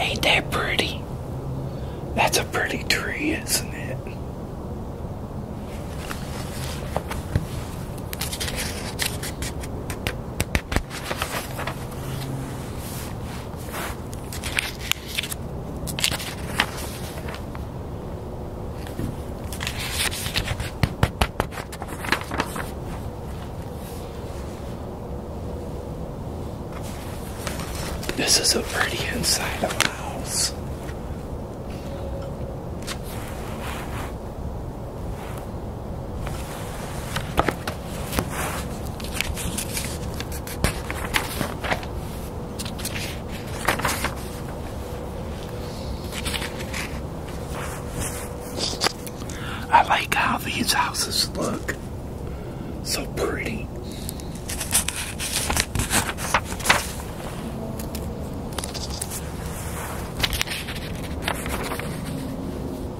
Ain't that pretty? That's a pretty tree, isn't it? This is a pretty inside of a house. I like how these houses look. So pretty.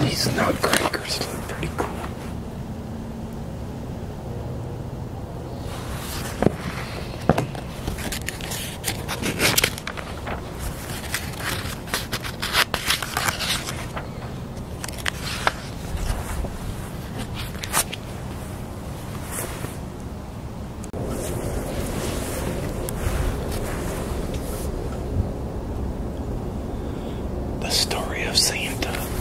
These nut crackers look pretty cool. The story of Santa.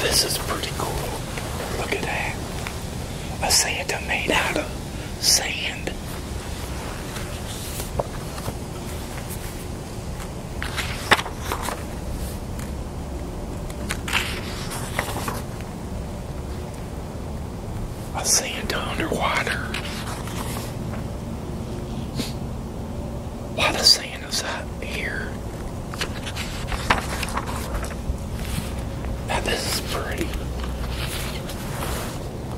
this is pretty cool. Look at that. A Santa made out of sand. I see it underwater. Why the sand is up here? That is this pretty.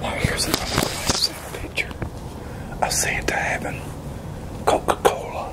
Now here's another lifesaver picture of Santa having Coca-Cola.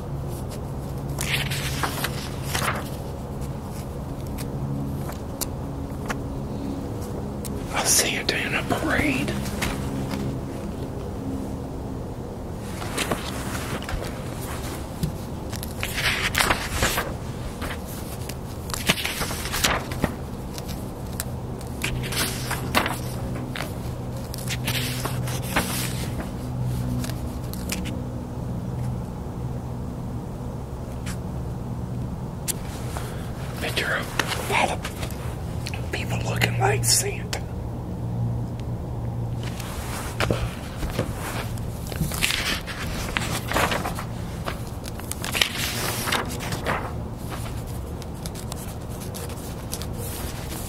I see it in a parade. Picture of a lot people looking like Santa.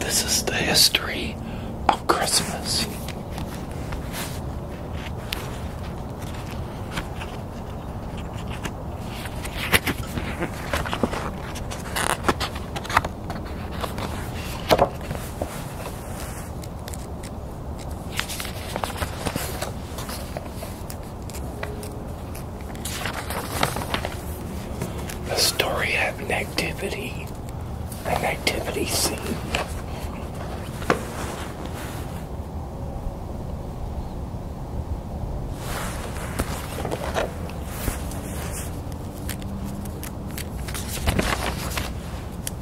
This is the history of Christmas. A story of an activity, an activity scene.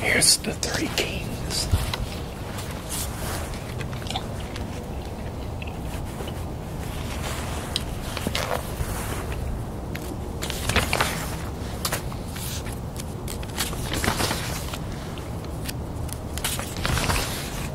Here's the three kings.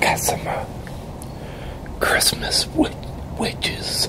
Got some uh, Christmas wedges.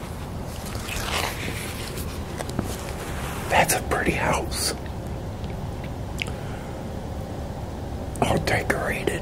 That's a pretty house. All decorated.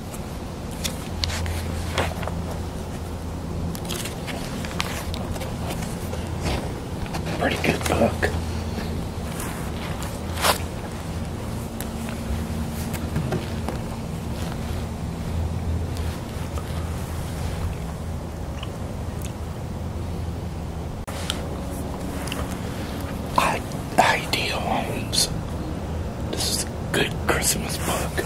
Pretty good book. Ideal Homes. This is a good Christmas book.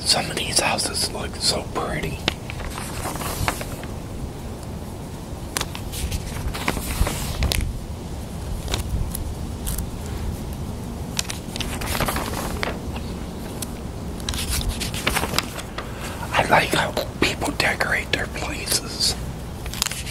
Some of these houses look so pretty. I like how people decorate their places.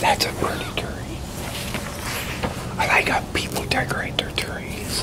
That's a pretty tree. I like how people decorate their trees.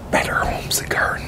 Better Homes and Gardens.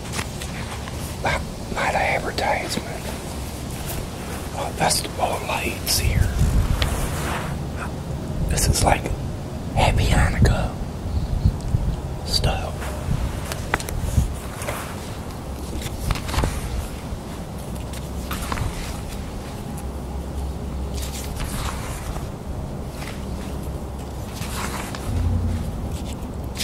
not, not an advertisement. Oh, that's the ball lights here. This is like Happy Hanukkah stuff.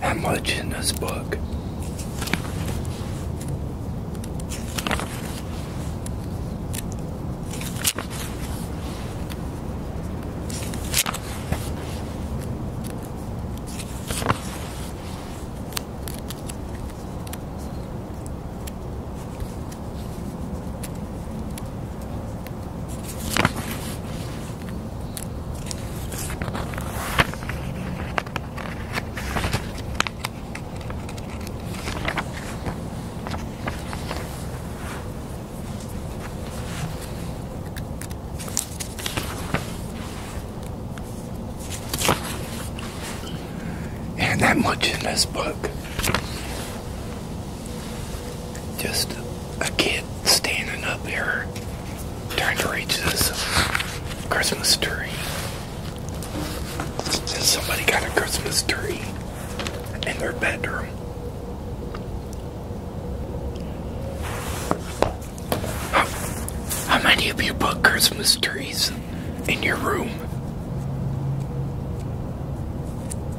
How much in this book? And that much in this book. Just a kid standing up here trying to reach this Christmas tree. somebody got a Christmas tree in their bedroom. how many of you put Christmas trees in your room?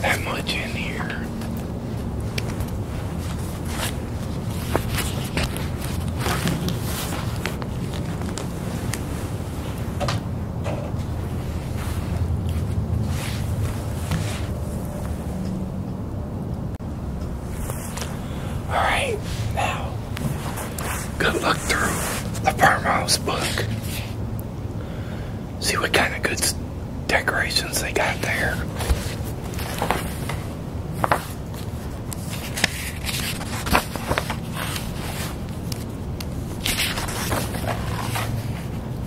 that much in here. Alright, now, good look through the farmhouse book. See what kind of good decorations they got there.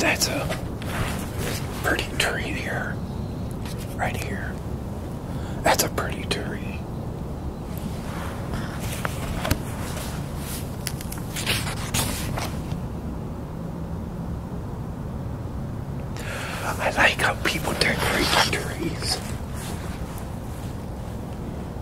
That's a pretty tree here. Right here. That's a pretty tree. I like how people decorate trees.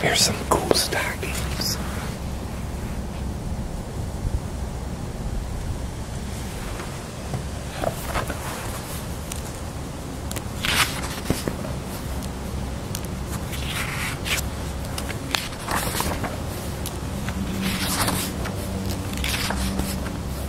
Here's some cool stockings.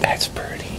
That's pretty.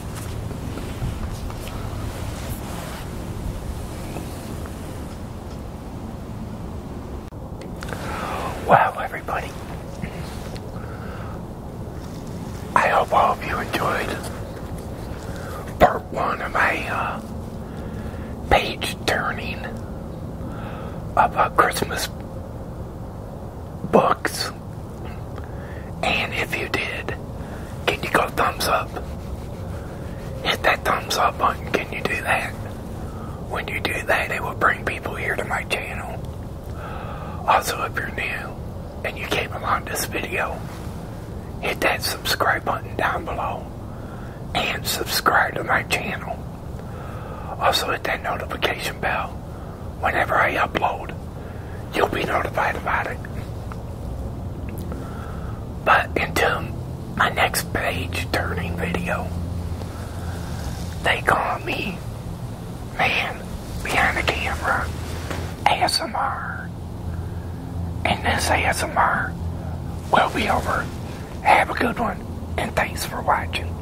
Wow, everybody. I hope all of you enjoyed part one of my uh, page turning of uh, Christmas books. And if you did, can you go thumbs up? Hit that thumbs up button. Can you do that? When you do that, it will bring people here to my channel. Also, if you're new and you came along this video, hit that subscribe button down below and subscribe to my channel. Also, hit that notification bell whenever I upload. You'll be notified about it. But until my next page turning video, they call me Man Behind the Camera ASMR. And this ASMR will be over. Have a good one, and thanks for watching.